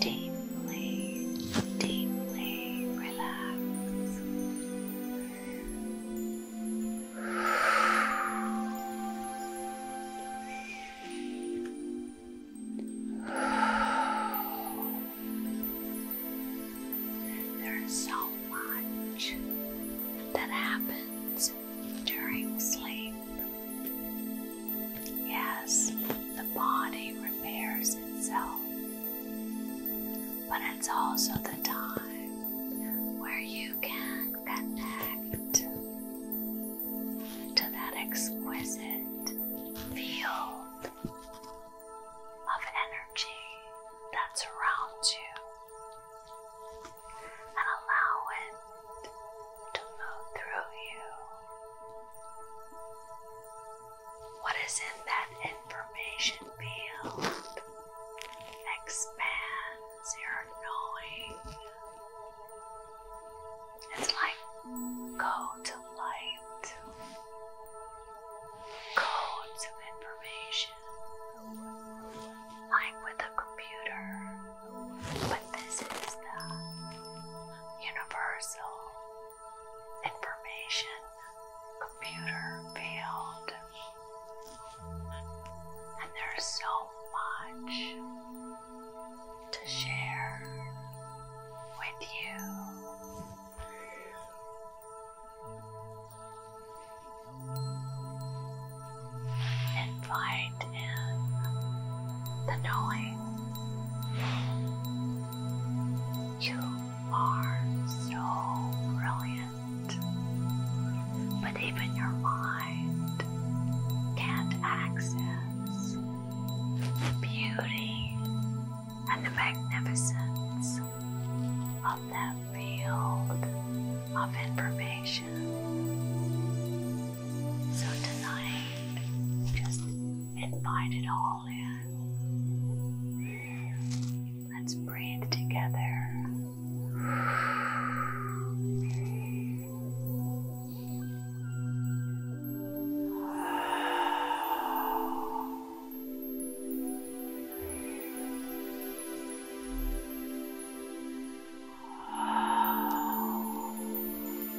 deeply, deeply relax. There's so much that happens during sleep. Yes, the body repairs itself but it's also the time where you can connect to that exquisite field of energy that's around you and allow it to move through you. What is in that information field expands your knowing. It's like code to light, codes of information, like with a computer. But this is the universal information computer field. And there's so much to share with you. Invite in the knowing. You are so brilliant, but even your mind can't access the beauty and the magnificence of that field of information. So tonight, just invite it all all in. Let's breathe together.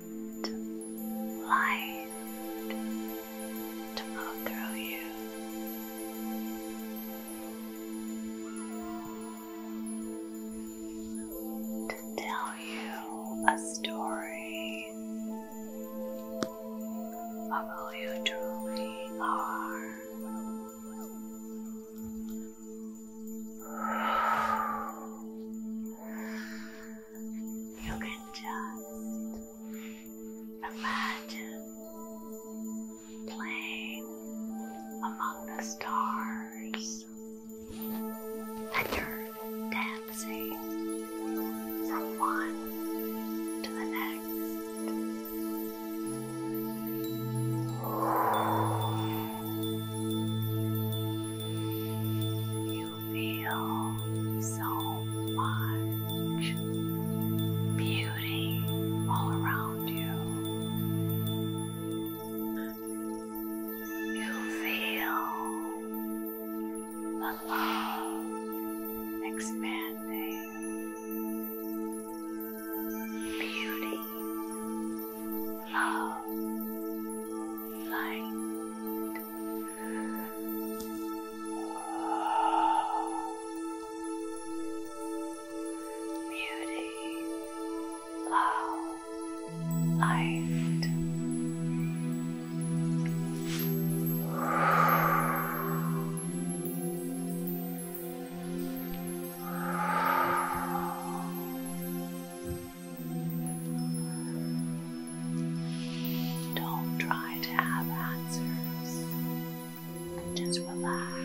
and light to flow through you. To tell you a story of who you truly are. You can just imagine playing among the stars, and dancing from one to the next. You feel so much beauty all around you. You feel the love expanding, beauty love, light. Beauty, love, light. Don't try to have answers, just relax,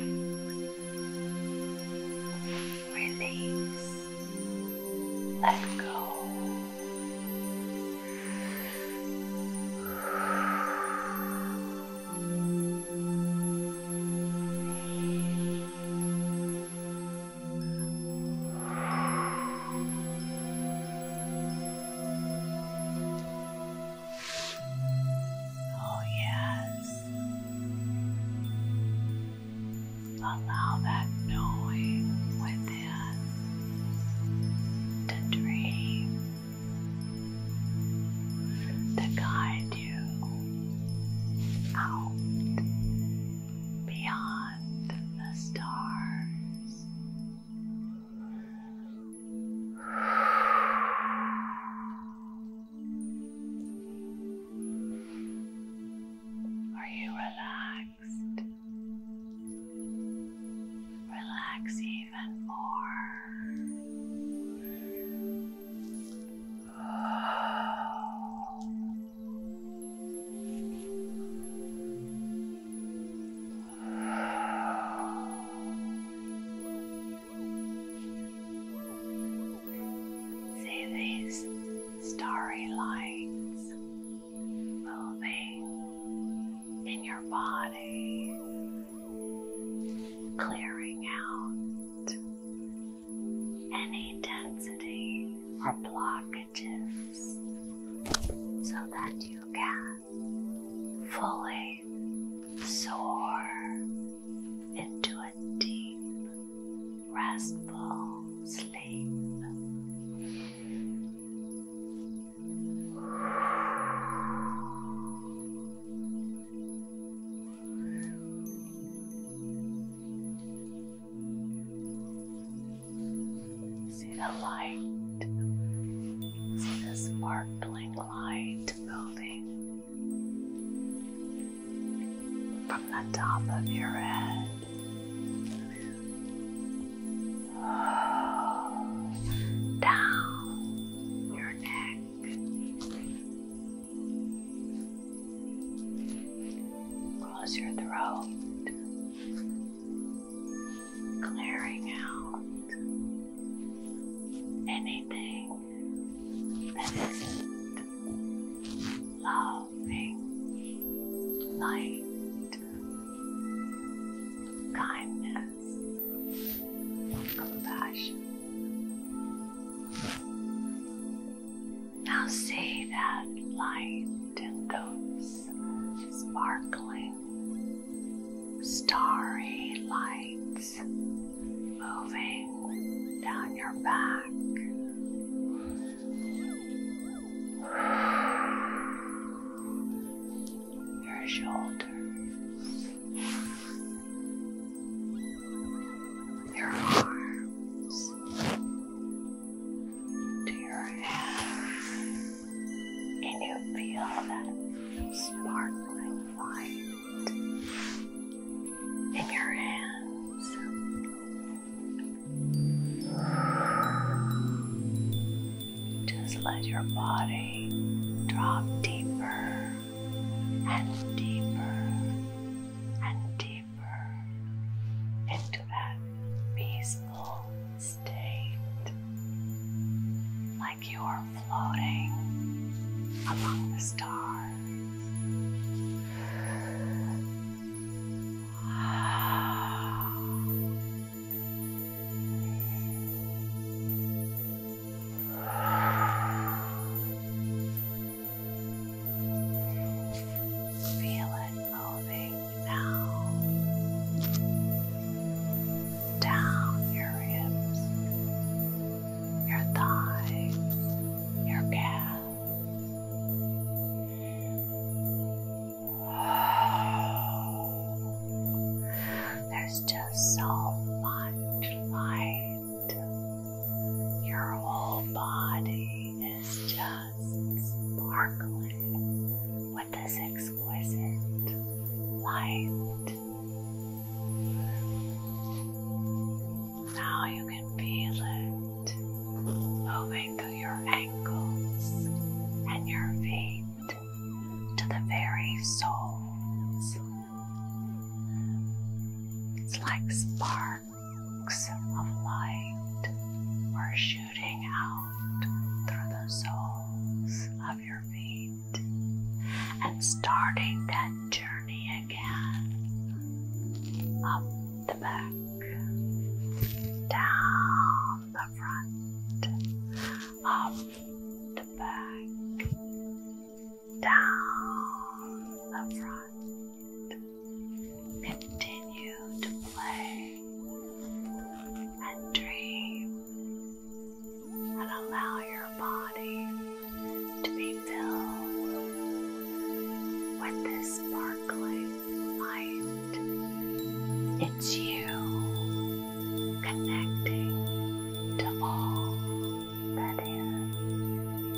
release, let go. Oh, yes. Allow that knowing within to dream, to guide you out beyond the stars. Are you relaxed? Relax even more. See these starry lights moving in your body, clearing out any density or blockages so that you can fully soar into a deep, restful sleep. See the light, see the sparkling light moving from the top of your head. Down your neck, Close your throat, clearing out anything that isn't loving, light, kindness, compassion. Now see that light and those sparkling starry lights moving down your back. Your shoulders, your arms to your hands, and you feel that sparkling light in your hands. Just let your body drop deeper and deeper and deeper into that peaceful state, like you are floating among the stars. Feel it moving now down your ribs, your thighs, your calves. There's just so much light. Your whole body it's just sparkling with this exquisite light. Now you can feel it moving through your ankles and your feet to the very soles. It's like sparks arcs of light are shooting out through the soles of your feet and starting that journey again up the back, down the front, up the back, down the front. Continue to play and dream and allow your body to be filled with this sparkling light. It's you connecting to all that is.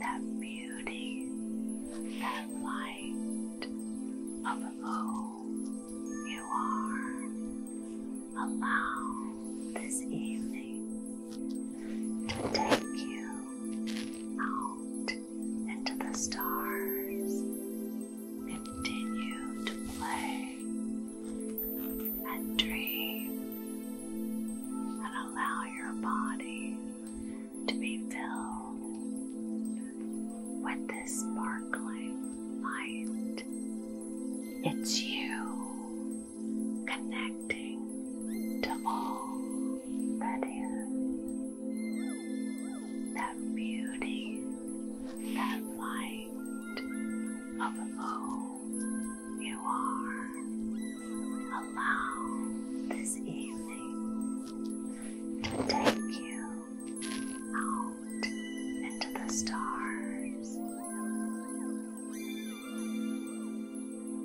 That beauty, that light of who you are. Allow this evening to take you out and to the stars. Continue to play and dream and allow your body to be filled with this sparkling light. It's you. Connect to all that is. That beauty, that light of who you are. Allow this evening to take you out into the stars.